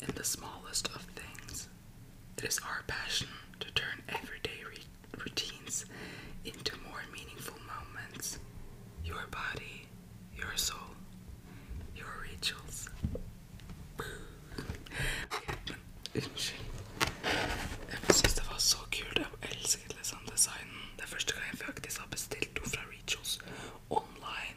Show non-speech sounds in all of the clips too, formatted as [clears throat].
in the smallest of things. It is our passion to turn everyday routines into more meaningful moments. Your body, your soul, your rituals. Unnskyld. Jeg syns det var så kult. Jeg elsket liksom designen. Det er Rituals online.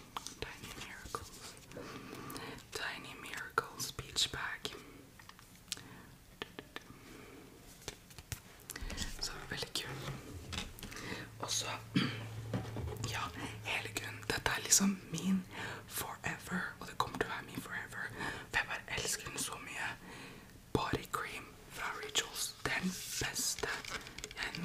Tiny Miracles. Tiny Miracles Beach Bag. Så veldig kul. Og så [clears throat] Ja, hele grunnen. Dette er forever, og det kommer til å være forever. For jeg bare elsker Body cream fra Rituals. Den beste jeg